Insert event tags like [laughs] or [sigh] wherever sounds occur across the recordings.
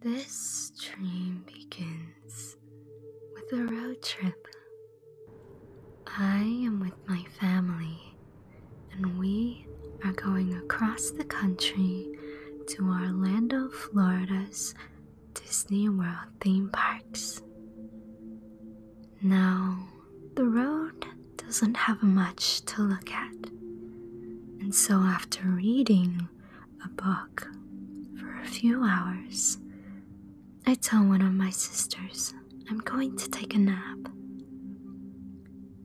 This dream begins with a road trip. I am with my family, and we are going across the country to Orlando, Florida's Disney World theme parks. Now, the road doesn't have much to look at. And so, after reading a book for a few hours, I tell one of my sisters, I'm going to take a nap.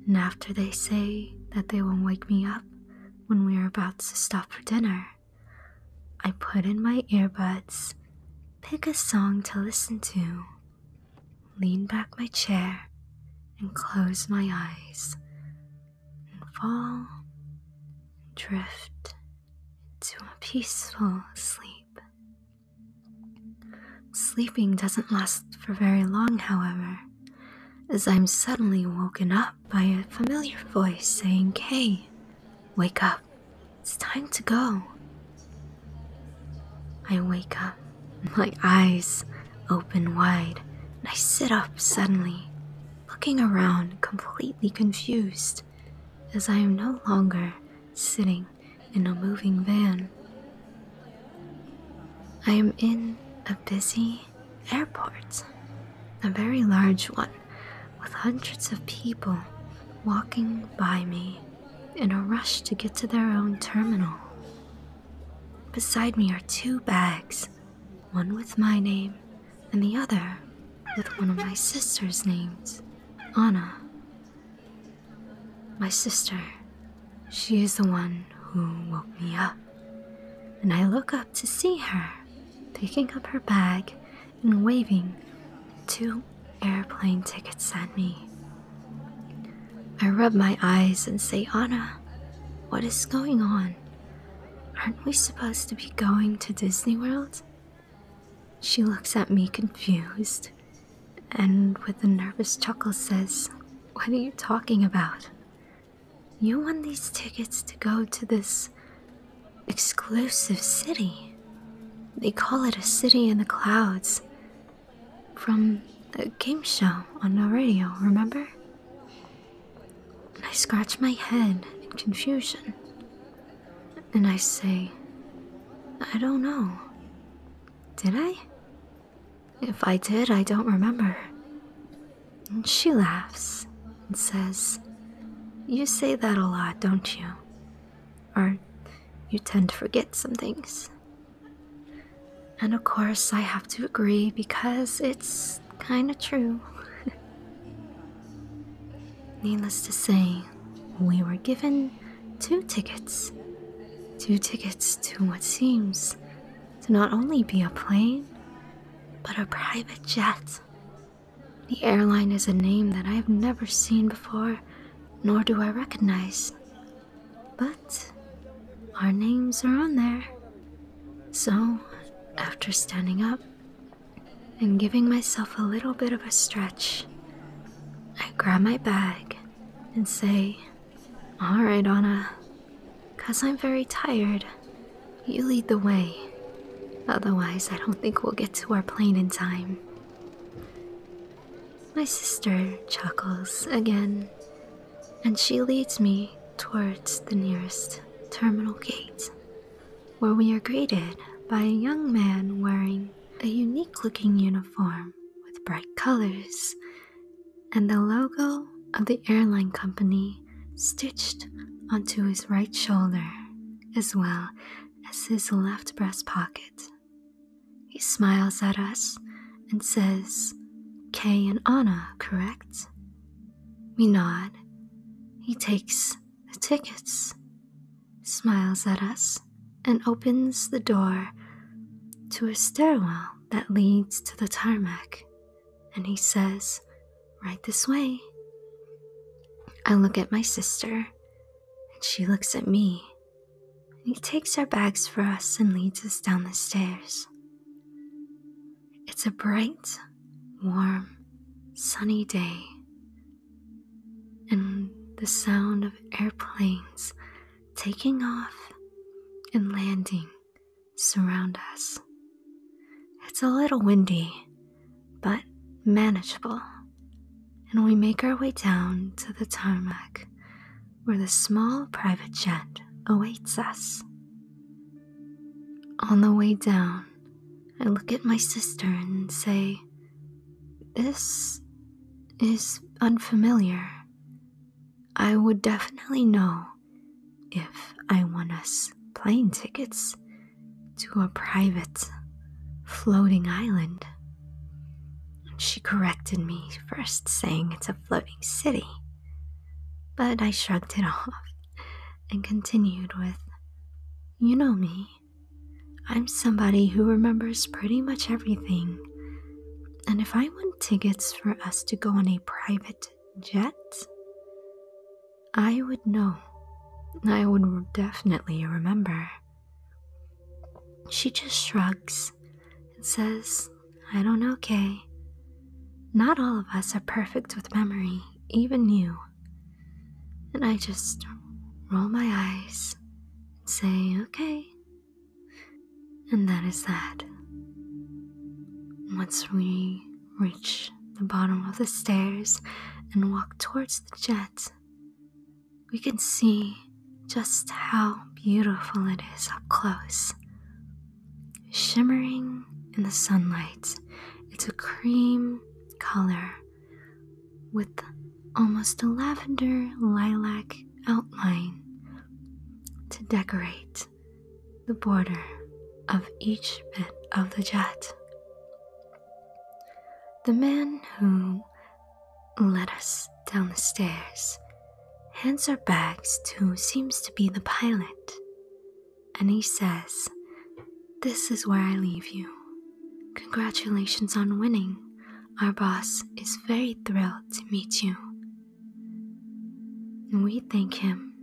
And after they say that they will wake me up when we are about to stop for dinner, I put in my earbuds, pick a song to listen to, lean back my chair, and close my eyes and fall and drift into a peaceful sleep. Sleeping doesn't last for very long, however, as I'm suddenly woken up by a familiar voice saying, Hey, wake up, it's time to go. I wake up my eyes open wide, and I sit up suddenly, looking around completely confused, as I am no longer sitting in a moving van. I am in a busy airport, a very large one, with hundreds of people walking by me in a rush to get to their own terminal. Beside me are two bags one with my name, and the other with one of my sister's names, Anna. My sister, she is the one who woke me up. And I look up to see her picking up her bag and waving two airplane tickets at me. I rub my eyes and say, Anna, what is going on? Aren't we supposed to be going to Disney World? She looks at me confused and, with a nervous chuckle, says, What are you talking about? You want these tickets to go to this exclusive city. They call it a city in the clouds. From a game show on the radio, remember? And I scratch my head in confusion. And I say, I don't know. Did I? If I did, I don't remember. And she laughs and says, You say that a lot, don't you? Or you tend to forget some things. And of course, I have to agree because it's kind of true. [laughs] Needless to say, we were given two tickets. Two tickets to what seems to not only be a plane, but a private jet. The airline is a name that I have never seen before, nor do I recognize. But our names are on there. So, after standing up and giving myself a little bit of a stretch, I grab my bag and say, Alright, Anna, because I'm very tired, you lead the way. Otherwise, I don't think we'll get to our plane in time. My sister chuckles again and she leads me towards the nearest terminal gate, where we are greeted by a young man wearing a unique looking uniform with bright colors and the logo of the airline company stitched onto his right shoulder as well as his left breast pocket. He smiles at us and says, Kay and Anna, correct? We nod. He takes the tickets, smiles at us, and opens the door to a stairwell that leads to the tarmac. And he says, Right this way. I look at my sister, and she looks at me. And he takes our bags for us and leads us down the stairs. It's a bright, warm, sunny day, and the sound of airplanes taking off and landing surround us. It's a little windy, but manageable, and we make our way down to the tarmac where the small private jet awaits us. On the way down, I look at my sister and say, This is unfamiliar. I would definitely know if I won us plane tickets to a private floating island. she corrected me, first saying it's a floating city. But I shrugged it [laughs] off and continued with, You know me. I'm somebody who remembers pretty much everything. And if I won tickets for us to go on a private jet, I would know. I would definitely remember. She just shrugs and says, I don't know, Kay. Not all of us are perfect with memory, even you. And I just roll my eyes and say, okay. And that is that. Once we reach the bottom of the stairs and walk towards the jet, we can see just how beautiful it is up close shimmering in the sunlight. It's a cream color with almost a lavender lilac outline to decorate the border of each bit of the jet. The man who led us down the stairs Hanser Baggs, too, seems to be the pilot, and he says, This is where I leave you. Congratulations on winning. Our boss is very thrilled to meet you. And We thank him,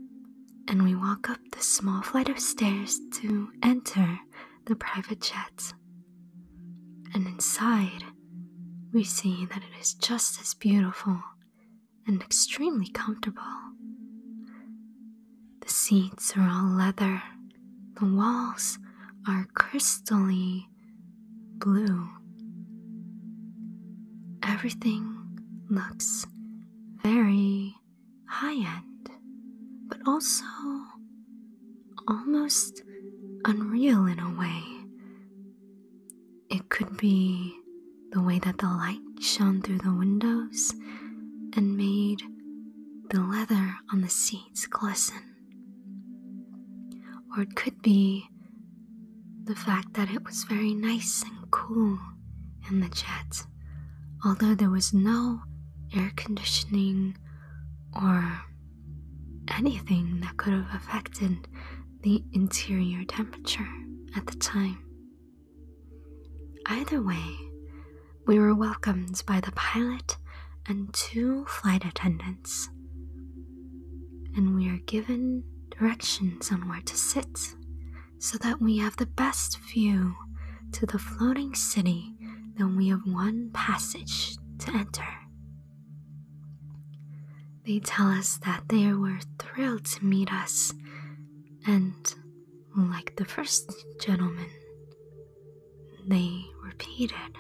and we walk up the small flight of stairs to enter the private jet. And inside, we see that it is just as beautiful and extremely comfortable. The seats are all leather, the walls are crystally blue. Everything looks very high end, but also almost unreal in a way. It could be the way that the light shone through the windows and made the leather on the seats glisten. Or it could be the fact that it was very nice and cool in the jet, although there was no air conditioning or anything that could have affected the interior temperature at the time. Either way, we were welcomed by the pilot and two flight attendants, and we are given directions on where to sit so that we have the best view to the floating city Then we have one passage to enter. They tell us that they were thrilled to meet us, and like the first gentleman, they repeated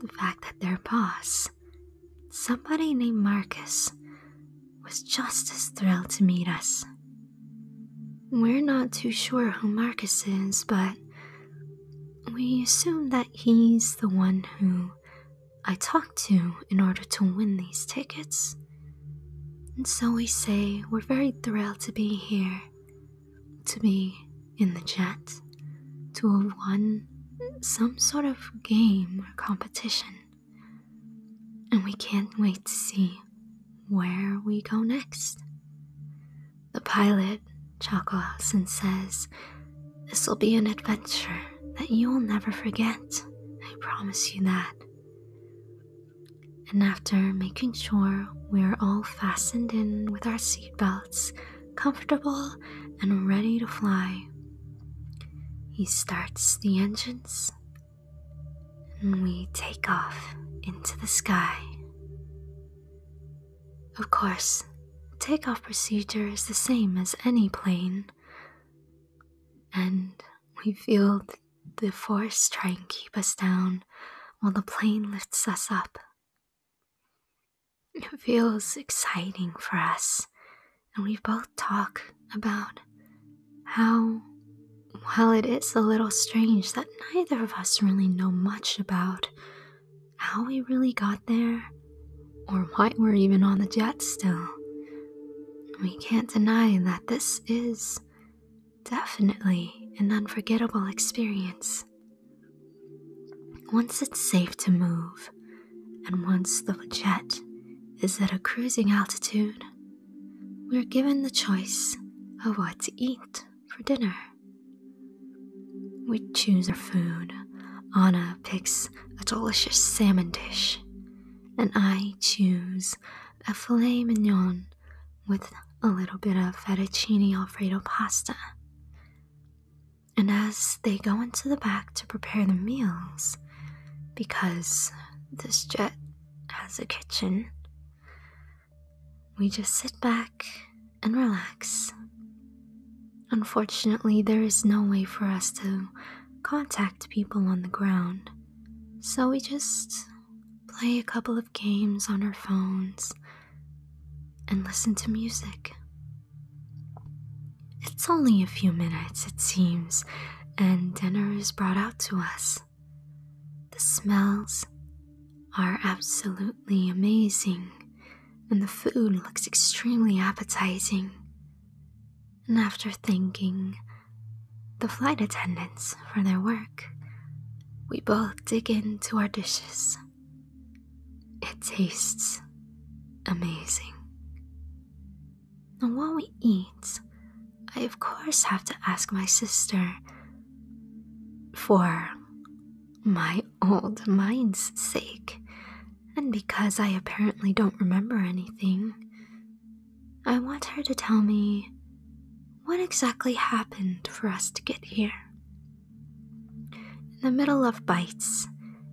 the fact that their boss, somebody named Marcus, was just as thrilled to meet us. We're not too sure who Marcus is, but we assume that he's the one who I talked to in order to win these tickets. And so we say we're very thrilled to be here, to be in the jet, to have won some sort of game or competition. And we can't wait to see where we go next. The pilot chuckles and says, This will be an adventure that you will never forget. I promise you that. And after making sure we are all fastened in with our seatbelts, comfortable and ready to fly, he starts the engines and we take off into the sky. Of course, takeoff procedure is the same as any plane, and we feel the force trying to keep us down while the plane lifts us up. It feels exciting for us, and we both talk about how, while it is a little strange that neither of us really know much about how we really got there or why we're even on the jet still, we can't deny that this is definitely an unforgettable experience. Once it's safe to move, and once the jet is at a cruising altitude, we're given the choice of what to eat for dinner. We choose our food. Anna picks a delicious salmon dish, and I choose a filet mignon with a little bit of fettuccine alfredo pasta. And as they go into the back to prepare the meals, because this jet has a kitchen, we just sit back and relax. Unfortunately, there is no way for us to contact people on the ground. So we just play a couple of games on our phones and listen to music. It's only a few minutes, it seems, and dinner is brought out to us. The smells are absolutely amazing, and the food looks extremely appetizing and after thanking the flight attendants for their work, we both dig into our dishes. It tastes amazing. And while we eat, I of course have to ask my sister for my old mind's sake, and because I apparently don't remember anything, I want her to tell me what exactly happened for us to get here. In the middle of bites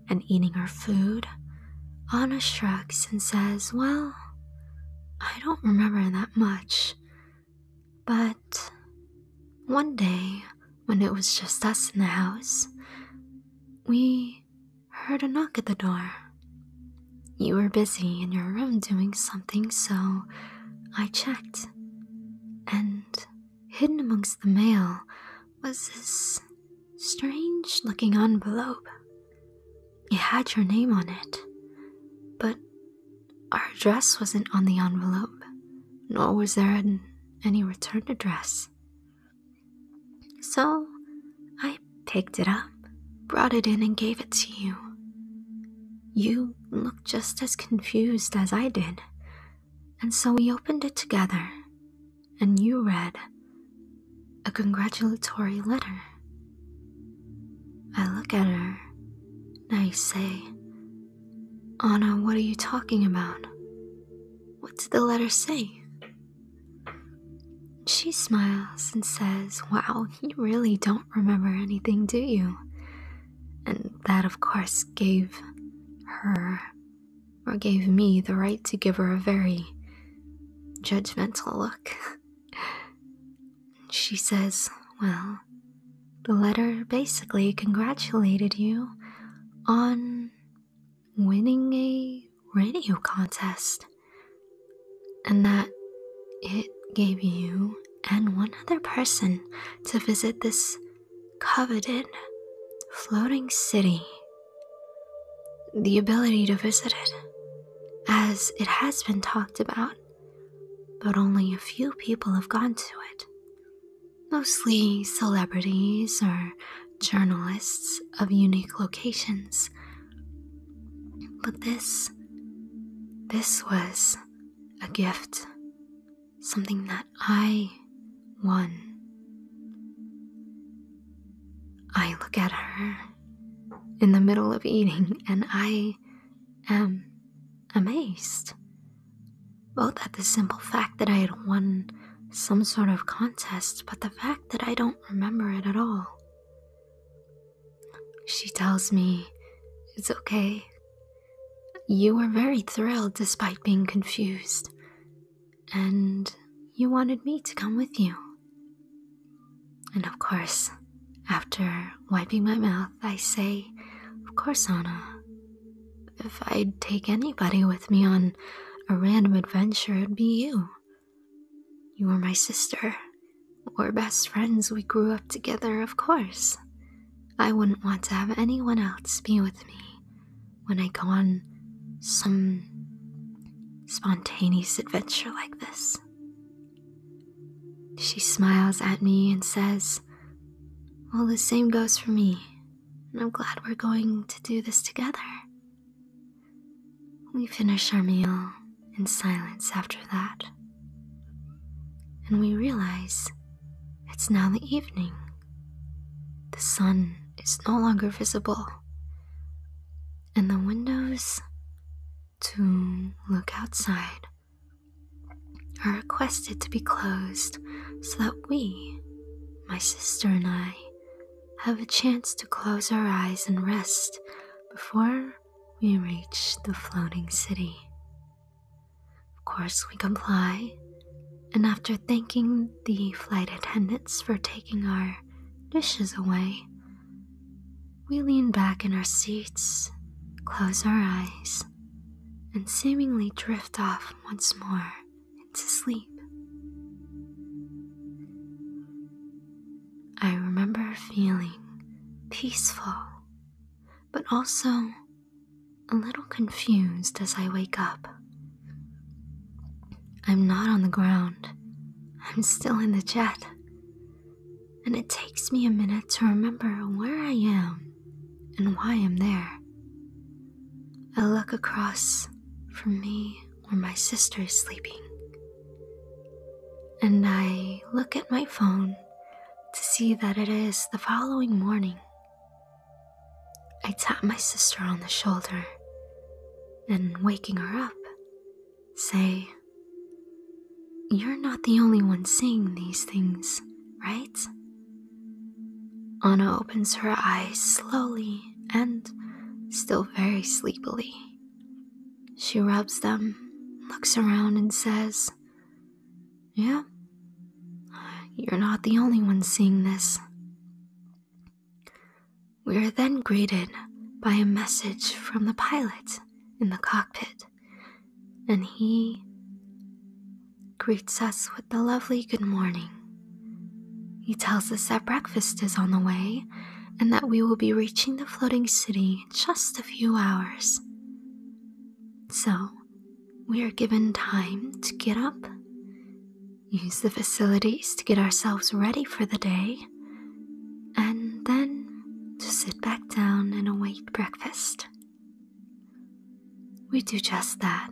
and eating our food, Anna shrugs and says, Well, I don't remember that much. But one day, when it was just us in the house, we heard a knock at the door. You were busy in your room doing something, so I checked. And hidden amongst the mail was this strange looking envelope. It had your name on it, but our address wasn't on the envelope, nor was there any return address. So I picked it up, brought it in, and gave it to you. You looked just as confused as I did, and so we opened it together, and you read a congratulatory letter. I look at her, and I say, Anna, what are you talking about? What did the letter say? She smiles and says, Wow, you really don't remember anything, do you? And that, of course, gave her, or gave me, the right to give her a very judgmental look. [laughs] She says, Well, the letter basically congratulated you on winning a radio contest, and that it gave you and one other person to visit this coveted floating city the ability to visit it, as it has been talked about, but only a few people have gone to it. Mostly celebrities or journalists of unique locations but this, this was a gift, something that I won. I look at her in the middle of eating and I am amazed. Both at the simple fact that I had won some sort of contest, but the fact that I don't remember it at all. She tells me it's okay. You were very thrilled despite being confused, and you wanted me to come with you. And of course, after wiping my mouth, I say, Of course, Anna. If I'd take anybody with me on a random adventure, it'd be you. You are my sister. We're best friends. We grew up together, of course. I wouldn't want to have anyone else be with me when I go on some spontaneous adventure like this. She smiles at me and says, Well, the same goes for me, and I'm glad we're going to do this together. We finish our meal in silence after that, and we realize it's now the evening. The sun is no longer visible, and the windows to look outside are requested to be closed so that we, my sister and I, have a chance to close our eyes and rest before we reach the floating city. Of course, we comply, and after thanking the flight attendants for taking our dishes away, we lean back in our seats, close our eyes, and seemingly drift off once more into sleep. I remember feeling peaceful, but also a little confused as I wake up. I'm not on the ground, I'm still in the jet, and it takes me a minute to remember where I am and why I'm there. I look across from me where my sister is sleeping. And I look at my phone to see that it is the following morning. I tap my sister on the shoulder and, waking her up, say, You're not the only one seeing these things, right? Anna opens her eyes slowly and still very sleepily she rubs them, looks around, and says, Yeah, you're not the only one seeing this. We are then greeted by a message from the pilot in the cockpit, and he greets us with the lovely good morning. He tells us that breakfast is on the way and that we will be reaching the floating city in just a few hours. So, we are given time to get up, use the facilities to get ourselves ready for the day, and then to sit back down and await breakfast. We do just that.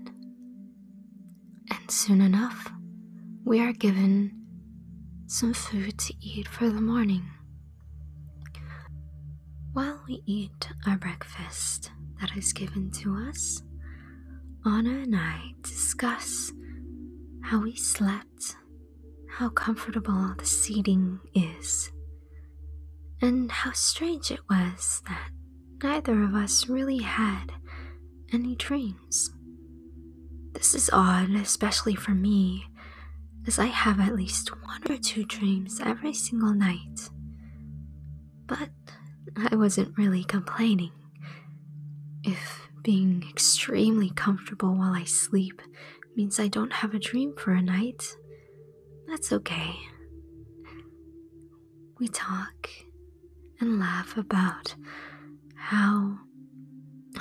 And soon enough, we are given some food to eat for the morning. While we eat our breakfast that is given to us, Anna and I discuss how we slept, how comfortable the seating is, and how strange it was that neither of us really had any dreams. This is odd, especially for me, as I have at least one or two dreams every single night. But I wasn't really complaining. If being extremely comfortable while I sleep means I don't have a dream for a night, that's okay. We talk and laugh about how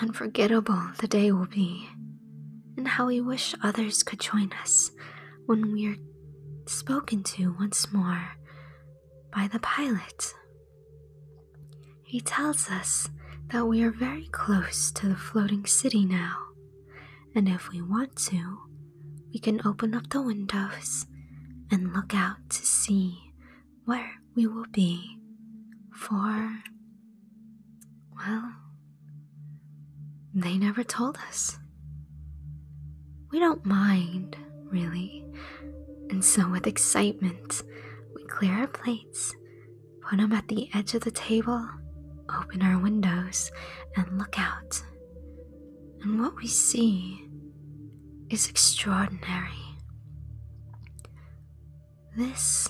unforgettable the day will be, and how we wish others could join us when we are spoken to once more by the pilot. He tells us that we are very close to the floating city now, and if we want to, we can open up the windows and look out to see where we will be for, well, they never told us. We don't mind, really, and so with excitement, we clear our plates, put them at the edge of the table, open our windows, and look out. And what we see is extraordinary. This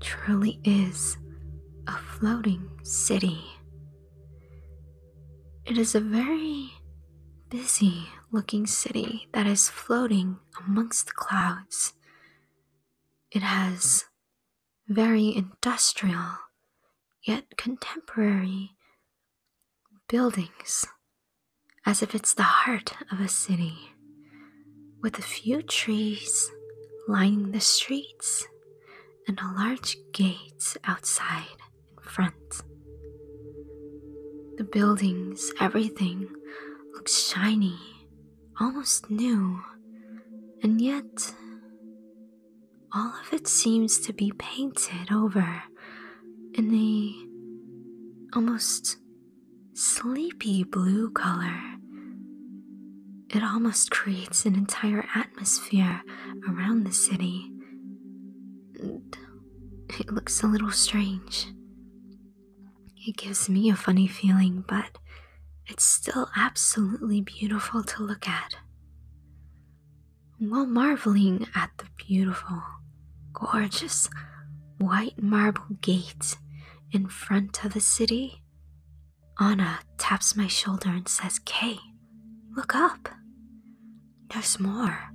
truly is a floating city. It is a very busy looking city that is floating amongst the clouds. It has very industrial yet contemporary buildings as if it's the heart of a city with a few trees lining the streets and a large gate outside in front. The buildings, everything looks shiny, almost new, and yet all of it seems to be painted over and they, almost sleepy blue color. It almost creates an entire atmosphere around the city. It looks a little strange. It gives me a funny feeling, but it's still absolutely beautiful to look at. While marveling at the beautiful, gorgeous white marble gate in front of the city, Anna taps my shoulder and says, Kay, look up. There's more.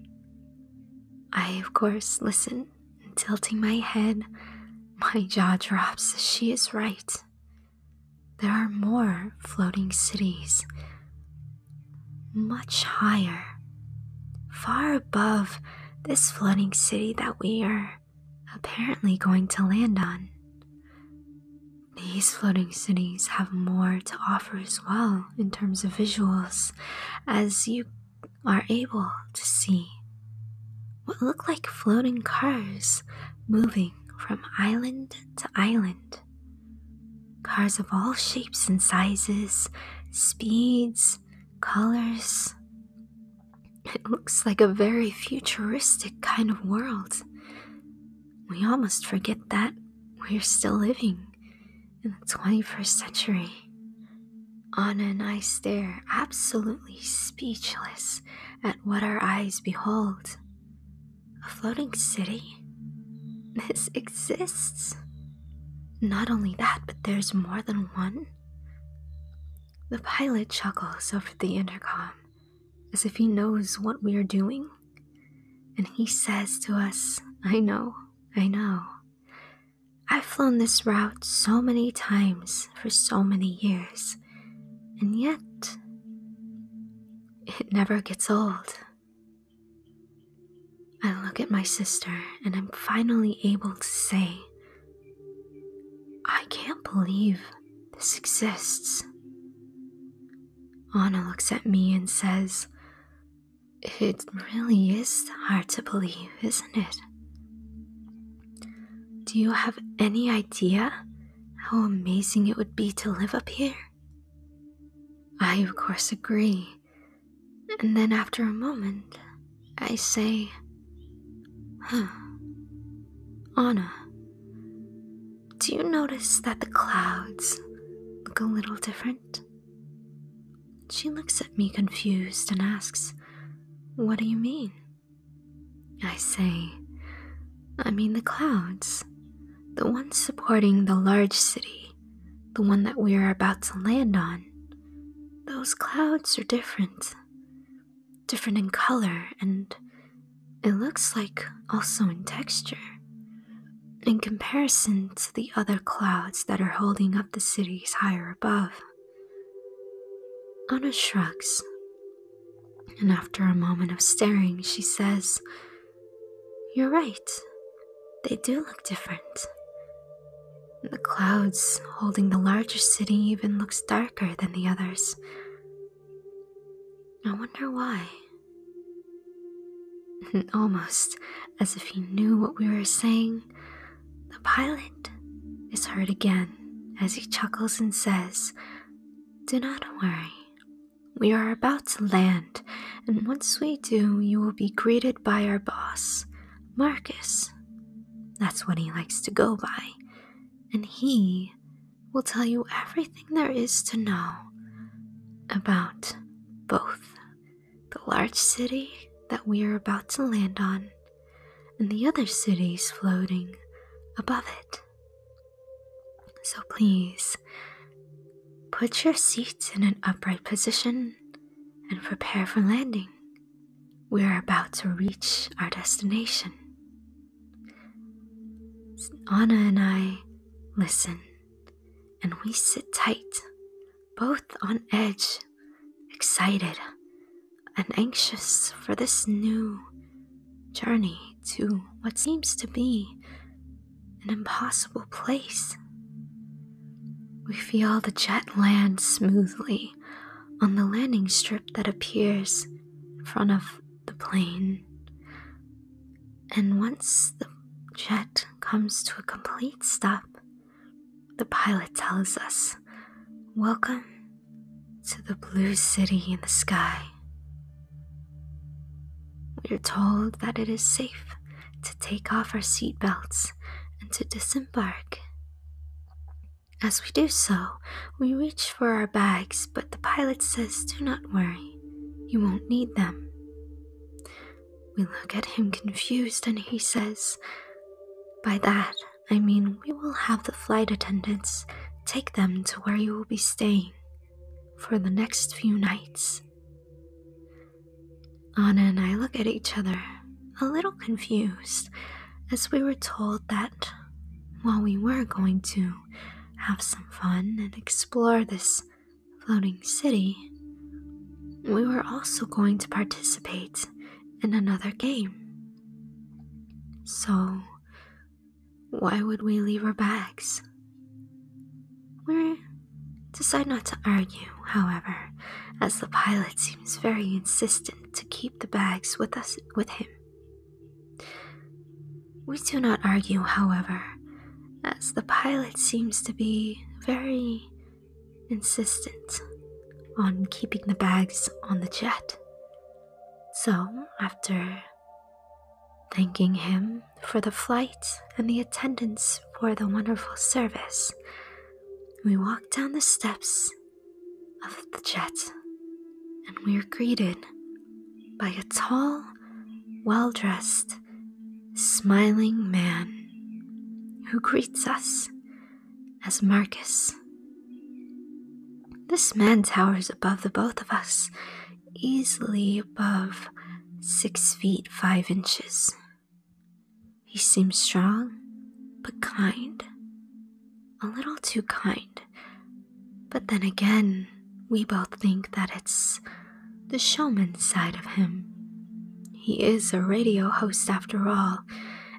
I, of course, listen, tilting my head. My jaw drops she is right. There are more floating cities, much higher, far above this floating city that we are apparently going to land on. These floating cities have more to offer as well in terms of visuals, as you are able to see what look like floating cars moving from island to island. Cars of all shapes and sizes, speeds, colors, it looks like a very futuristic kind of world. We almost forget that we're still living in the 21st century. Anna and I stare, absolutely speechless, at what our eyes behold. A floating city? This exists. Not only that, but there's more than one. The pilot chuckles over the intercom as if he knows what we are doing. And he says to us, I know, I know. I've flown this route so many times for so many years, and yet it never gets old. I look at my sister and I'm finally able to say I can't believe this exists. Anna looks at me and says, It really is hard to believe, isn't it? Do you have any idea how amazing it would be to live up here? I, of course, agree. And then after a moment, I say, huh. Anna, do you notice that the clouds look a little different? She looks at me confused and asks, What do you mean? I say, I mean the clouds, the ones supporting the large city, the one that we are about to land on. Those clouds are different different in color and it looks like also in texture. In comparison to the other clouds that are holding up the cities higher above, Anna shrugs, and after a moment of staring, she says, You're right, they do look different, the clouds holding the larger city even looks darker than the others. I wonder why. [laughs] almost as if he knew what we were saying, the pilot is heard again as he chuckles and says, Do not worry. We are about to land, and once we do, you will be greeted by our boss, Marcus. That's what he likes to go by, and he will tell you everything there is to know about both the large city that we are about to land on and the other cities floating above it. So please put your seats in an upright position and prepare for landing. We are about to reach our destination. Anna and I listen, and we sit tight, both on edge, excited, and anxious for this new journey to what seems to be an impossible place. We feel the jet land smoothly on the landing strip that appears in front of the plane. And once the jet comes to a complete stop, the pilot tells us, Welcome to the blue city in the sky. We are told that it is safe to take off our seatbelts and to disembark. As we do so, we reach for our bags, but the pilot says, Do not worry, you won't need them. We look at him confused, and he says, By that, I mean we will have the flight attendants take them to where you will be staying for the next few nights. Anna and I look at each other a little confused as we were told that while we were going to have some fun and explore this floating city, we were also going to participate in another game. So, why would we leave our bags? We decide not to argue, however, as the pilot seems very insistent to keep the bags with us with him. We do not argue, however, as the pilot seems to be very insistent on keeping the bags on the jet. So, after thanking him for the flight and the attendants for the wonderful service, we walk down the steps of the jet, and we are greeted by a tall, well dressed, smiling man who greets us as Marcus. This man towers above the both of us, easily above six feet five inches. He seems strong but kind a little too kind. But then again, we both think that it's the showman side of him. He is a radio host after all,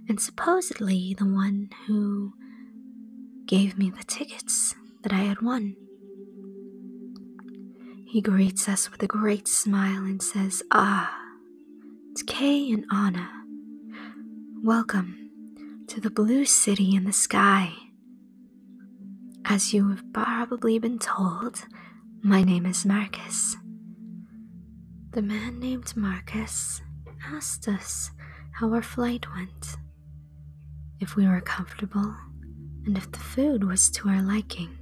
and supposedly the one who gave me the tickets that I had won. He greets us with a great smile and says, Ah, it's Kay and Anna, welcome to the blue city in the sky. As you have probably been told, my name is Marcus. The man named Marcus asked us how our flight went, if we were comfortable, and if the food was to our liking.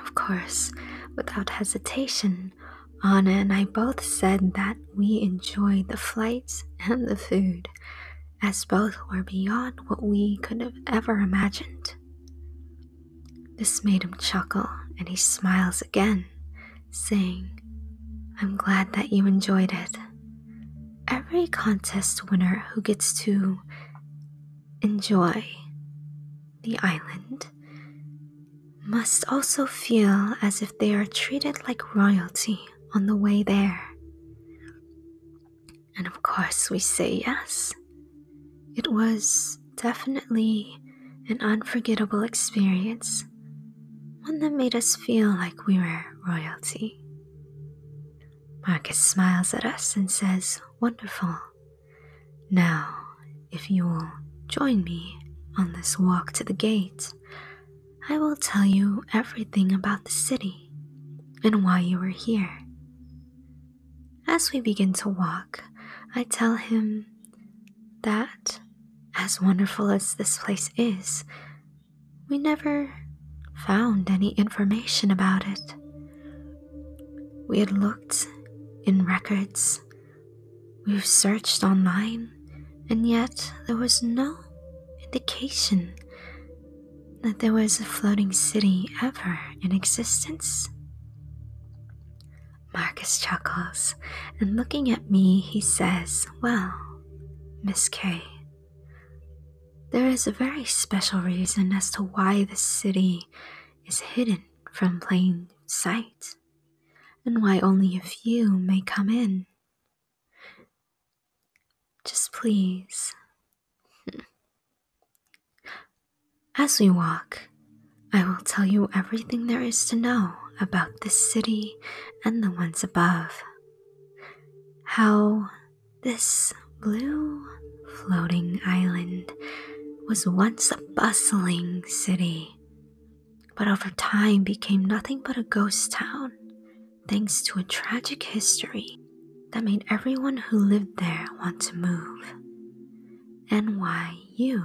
Of course, without hesitation, Anna and I both said that we enjoyed the flights and the food, as both were beyond what we could have ever imagined. This made him chuckle, and he smiles again, saying, I'm glad that you enjoyed it. Every contest winner who gets to enjoy the island must also feel as if they are treated like royalty on the way there. And of course, we say yes. It was definitely an unforgettable experience, one that made us feel like we were royalty. Marcus smiles at us and says, Wonderful. Now if you will join me on this walk to the gate, I will tell you everything about the city and why you are here. As we begin to walk, I tell him that, as wonderful as this place is, we never found any information about it. We had looked in records We've searched online, and yet there was no indication that there was a floating city ever in existence. Marcus chuckles, and looking at me, he says, Well, Miss K, there is a very special reason as to why this city is hidden from plain sight and why only a few may come in. Just please. [laughs] As we walk, I will tell you everything there is to know about this city and the ones above. How this blue floating island was once a bustling city but over time became nothing but a ghost town, thanks to a tragic history that made everyone who lived there want to move. And why you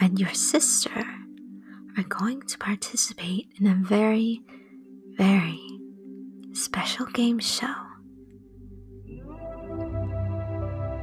and your sister are going to participate in a very, very special game show.